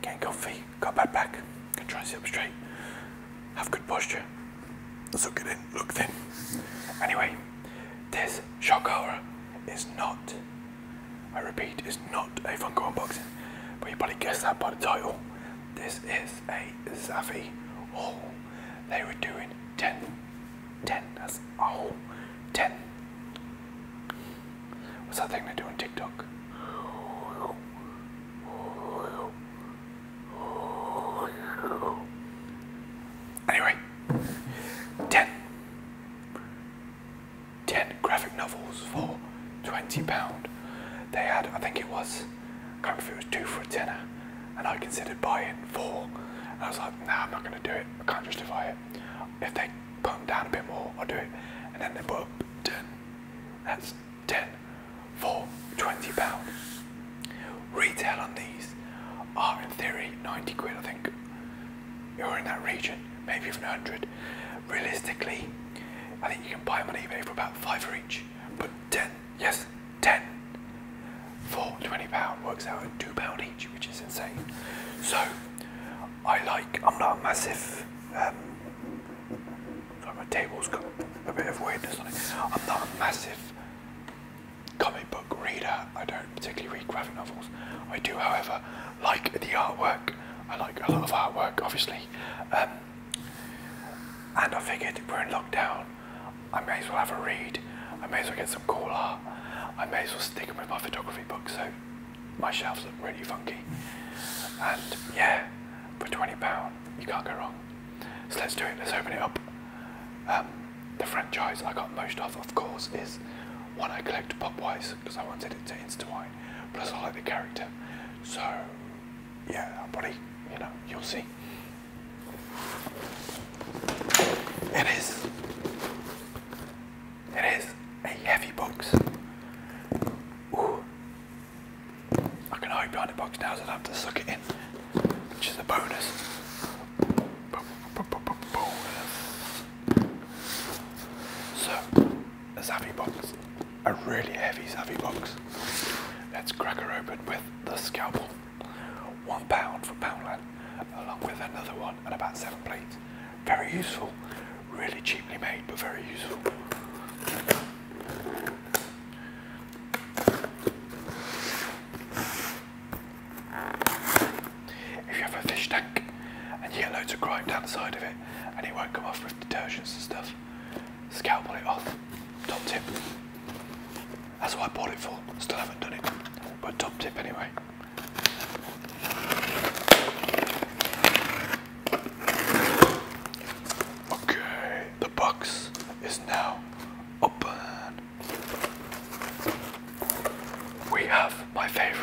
Getting comfy, got bad back, try and sit up straight, have good posture, suck it in, look thin. Anyway, this shock hour is not, I repeat, is not a Funko unboxing, but you probably guessed that by the title. This is a Zafi haul. They were doing 10, 10, that's a haul, 10 What's that thing they do on TikTok? Anyway, 10. graphic novels for £20. They had, I think it was, I can't remember if it was two for a tenner, and I considered buying four. I was like, no, I'm not going to do it. I can't justify it. If they put down a bit more, I'll do it. And then they put up 10. That's 10 for 20 pounds. Retail on these are in theory 90 quid, I think. You're in that region, maybe even 100. Realistically, I think you can buy them on eBay for about 5 for each. But 10, yes, 10 for 20 pound works out at 2 pound each, which is insane. So I like, I'm not a massive um, my table's got a bit of weirdness I'm not a massive comic book reader. I don't particularly read graphic novels. I do, however, like the artwork. I like a lot of artwork, obviously. Um, and I figured we're in lockdown. I may as well have a read. I may as well get some cool art. I may as well stick with my photography book. So my shelves look really funky. And yeah, for £20, you can't go wrong. So let's do it, let's open it up. Um, the franchise I got most of, of course, is one I collect pop-wise because I wanted it to insta Plus I like the character. So yeah, I'll probably, you know, you'll see. It is, it is a heavy box. Ooh, I can hide behind the box now so I don't have to suck it in, which is a bonus. So, a Savvy box, a really heavy Savvy box. Let's crack her open with the scalpel. One pound for Poundland, along with another one and about seven plates. Very useful really cheaply made but very useful. If you have a fish tank and you get loads of grime down the side of it and it won't come off with detergents and stuff, scalpel it off. Top tip. That's what I bought it for. Still haven't done it, but top tip anyway. Okay, the box is now open. We have my favorite.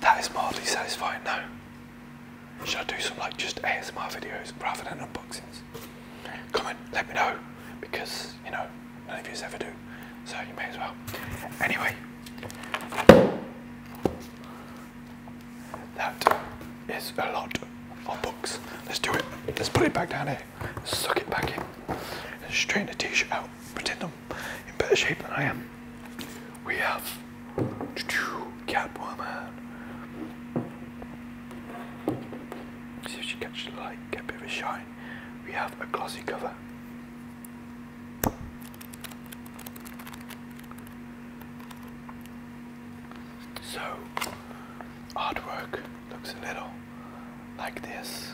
That is mildly satisfying now. Should I do some like just ASMR videos rather than unboxings? Comment, let me know because you know none of yous ever do so you may as well. Anyway, that is a lot of books. Let's do it. Let's put it back down here. Suck it back in. Straighten the t-shirt out. Pretend I'm in better shape than I am. We have Catwoman. See if she catches the light, get a bit of a shine. We have a glossy cover. So, artwork looks a little like this.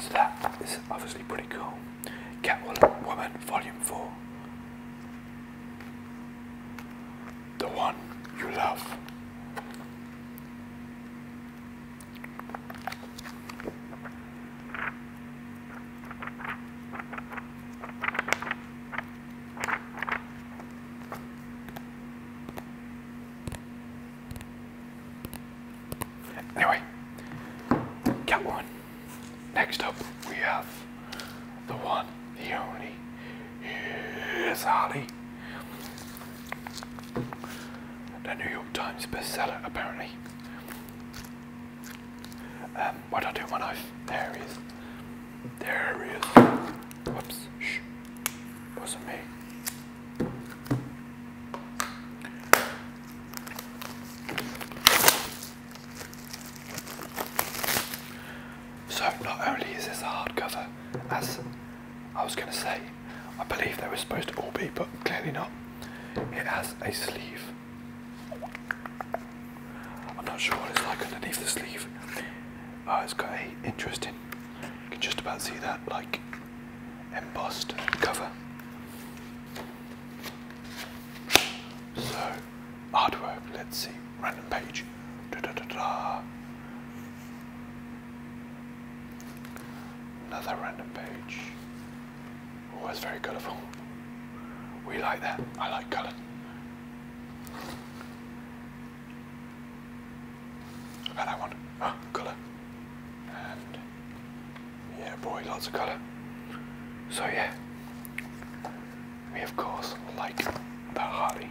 So that is obviously pretty cool. Catwoman Volume 4. The one you love. Anyway, got one. Next up, we have the one, the only, is Holly, The New York Times bestseller, apparently. Um, what I do when I there is there he is. Whoops. Shh. Wasn't me. So not only is this a hardcover, as I was going to say, I believe they were supposed to all be, but clearly not. It has a sleeve. I'm not sure what it's like underneath the sleeve. Oh, it's got a interesting, you can just about see that like embossed cover. So, hardware, let's see, random page. Da, da, da, da. Another random page. Oh, that's very colourful. We like that. I like colour. How about that one? Ah, colour. And yeah, boy, lots of colour. So yeah, we of course like the Harry.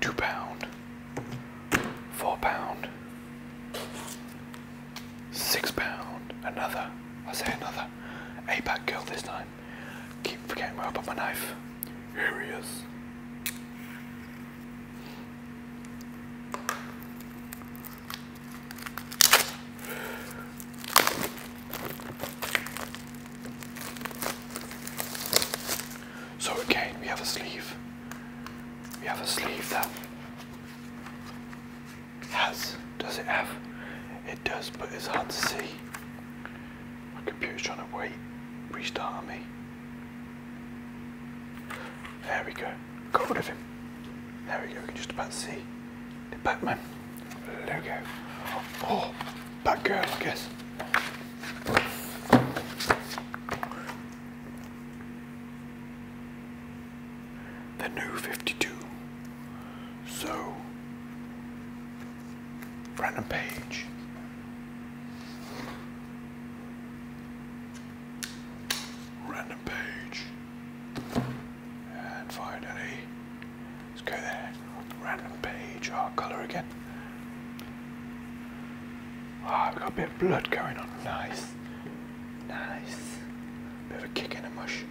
Two pound, four pound, Six pound. Another. I say another. A pack girl this time. Keep forgetting where I put my knife. Here he is. So again, we have a sleeve. We have a sleeve that Yes. Does it have? It does, but it's hard to see. My computer's trying to wait. Restart me. There we go. Got rid of him. There we go. We can just about see the Batman logo. Oh, Batgirl, I guess the new 52. So, random Page. Random page and finally let's go there. Random page, our color again. Ah, I've got a bit of blood going on. Nice. Nice. Bit of a kick in the mush.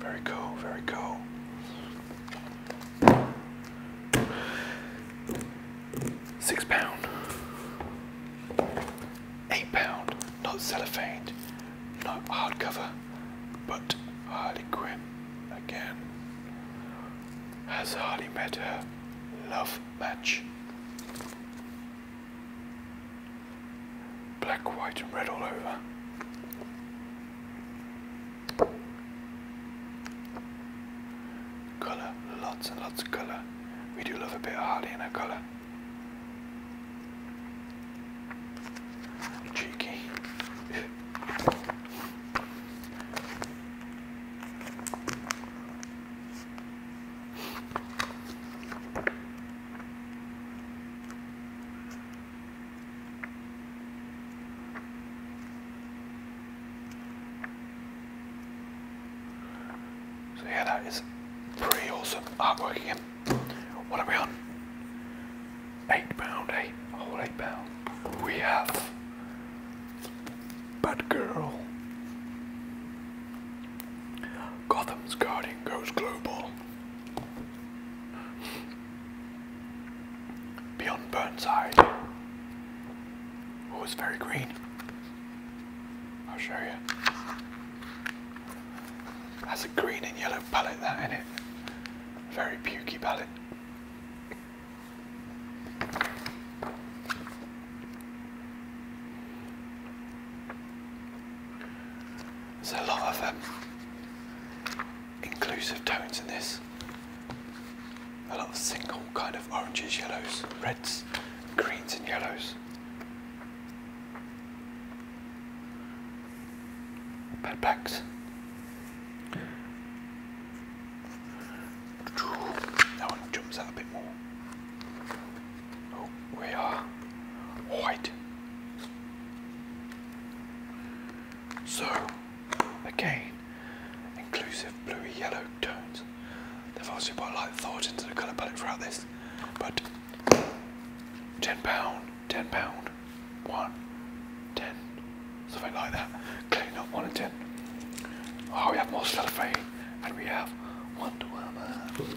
Very cool, very cool. Six pound. Eight pound. Not cellophane, not hard cover. but Harley Quinn again. Has Harley met her love match? Black, white, and red all over. Colour, lots and lots of colour. We do love a bit of Harley in colour. Cheeky. So yeah, that is pretty awesome artwork again. What are we on? Eight pound, eight, whole eight pound. We have Bad Girl. Gotham's Guardian goes global. Beyond Burnside, oh, it's very green. I'll show you. That's a green and yellow palette, that in it. Very pukey palette. There's a lot of um, inclusive tones in this. A lot of single kind of oranges, yellows, reds, greens and yellows. Bed packs. That one jumps out a bit more we are white. So, again, inclusive bluey yellow tones. They've also put a lot thought into the colour palette throughout this, but £10, £10, 1, 10, something like that. Clearly not 1 and 10. Oh, we have more cellophane, and we have Wonder Woman.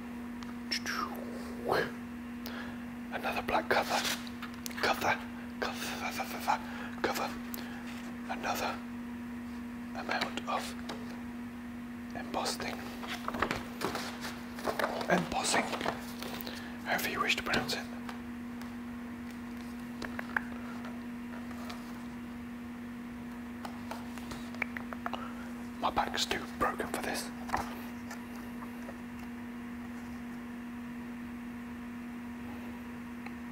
Another black cover. Cover. Cover. Cover. cover. Another amount of embossing. embossing. However you wish to pronounce it. My back's too broken for this.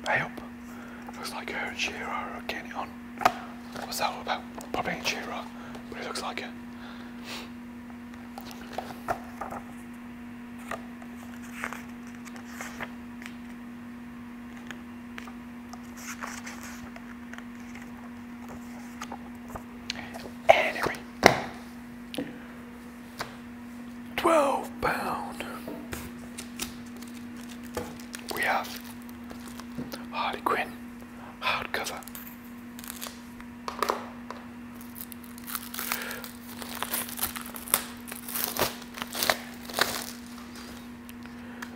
I looks like her and Shearer are getting on. What's that all about? Probably ain't Shearer, but it looks like it. Enemy. 12 pound. We have Harley Quinn hardcover.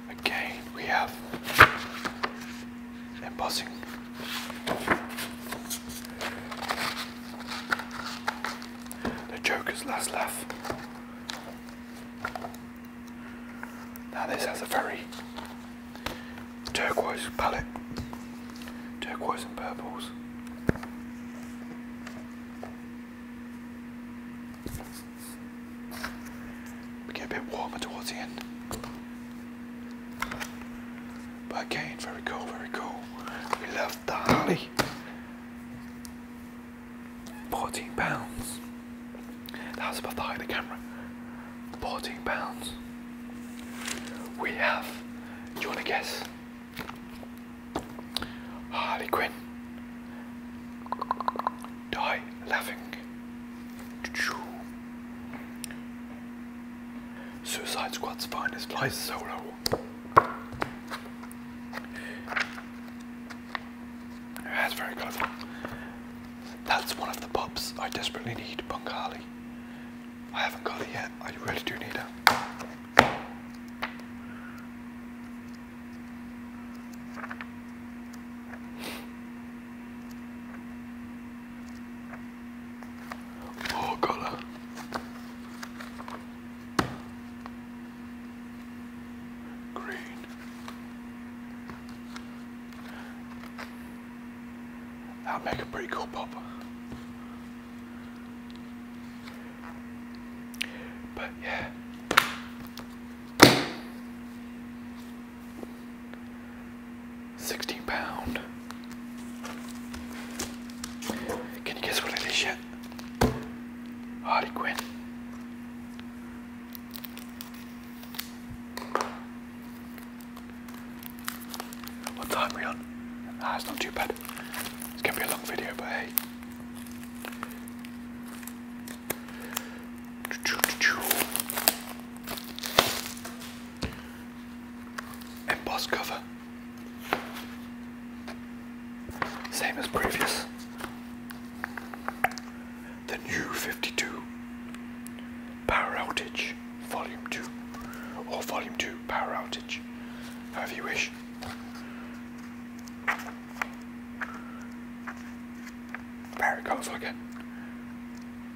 Again, we have bossing, The Joker's Last Laugh. Now this has a very turquoise palette, turquoise and purples. We get a bit warmer towards the end. But again, very cool, very cool. We love the Harley. 14 pounds. That's above the height of the camera. 14 pounds. We have, do you want to guess? Harley Quinn. Die laughing. Suicide Squad's finest flies solo. That's very colourful. That's one of the pops I desperately need, Bungali. I haven't got it yet, I really do need it. Oh, color. Green. That'll make a pretty cool pop. But yeah. 16 pound. Can you guess what it is yet? Hardy What time we on? Ah, it's not too bad. It's gonna be a long video, but hey embossed cover. Same as previous. The new 52 Power Outage Volume 2 or Volume 2 Power Outage, however you wish. Very colourful again.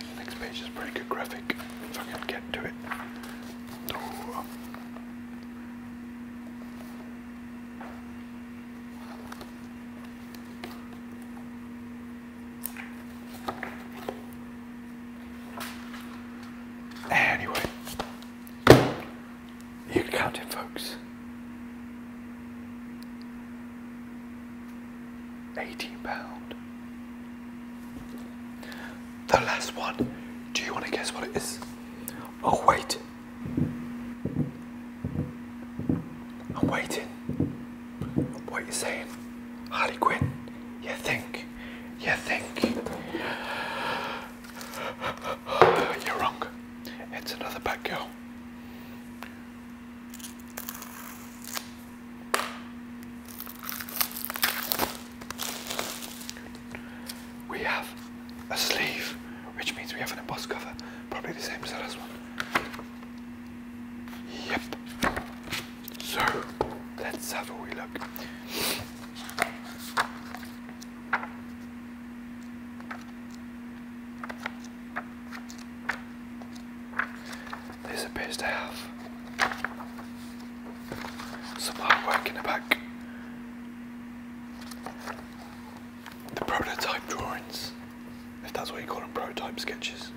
The next page is pretty good graphic, if I can get to it. Anyway, you count it, folks. Eighteen pound. The last one. Do you want to guess what it is? Oh wait. I'm waiting. What are you saying? Harley Quinn. You think? You think? You're wrong. It's another bad girl. We have a sleeve, which means we have an embossed cover, probably the same as the last one. Yep. So, let's have a wee look. These are best to have some hard work in the back. The prototype drawings, if that's what you call them, prototype sketches.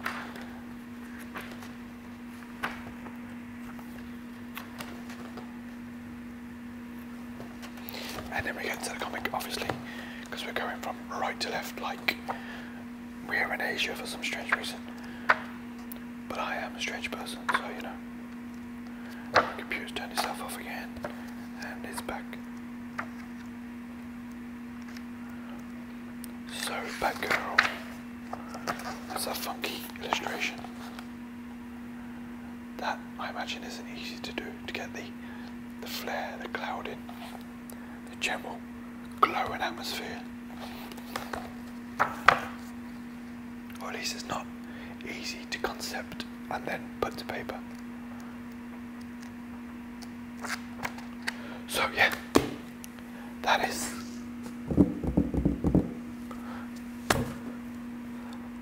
And then we get to the comic, obviously, because we're going from right to left, like we are in Asia for some strange reason. But I am a strange person, so you know. My computer's turned itself off again, and it's back. So, Batgirl. That's a funky illustration. That, I imagine, isn't easy to do, to get the, the flare, the cloud in the general glowing atmosphere. Or at least it's not easy to concept and then put to paper. So yeah, that is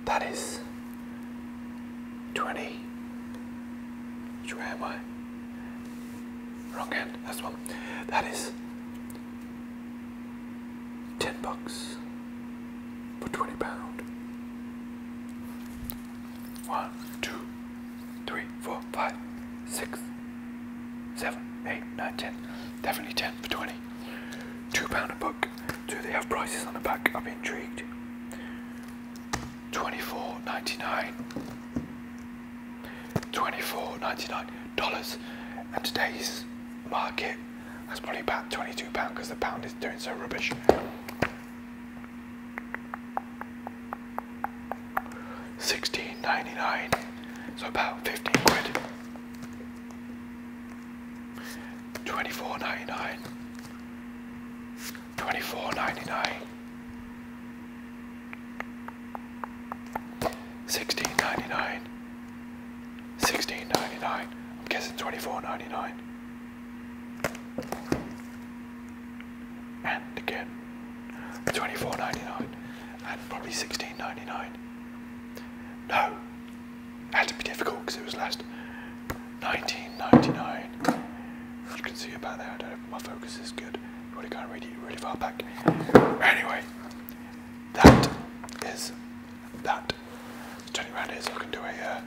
that is twenty. Wrong hand, that's one. That is 10 bucks for 20 pound. One, two, three, four, five, six, seven, eight, nine, ten. Definitely 10 for 20. Two pound a book. Do they have prices on the back? I'm intrigued. 24.99 Twenty-four ninety-nine dollars and today's market that's probably about 22 pound because the pound is doing so rubbish Sixteen ninety-nine. dollars so about 15 quid Twenty-four ninety-nine. dollars Sixteen ninety nine. Sixteen ninety nine. I'm guessing twenty four ninety nine. And again, twenty four ninety nine, and probably sixteen ninety nine. No, had to be difficult because it was last nineteen ninety nine. You can see about there. I don't know if my focus is good. You really can't read it really far back. Anyway, that is that. Turning around is so I can do a, uh,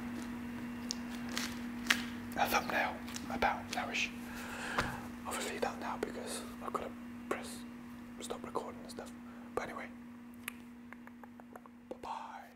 a thumbnail about nourish. Obviously that now because I've got to press stop recording and stuff. But anyway, bye bye.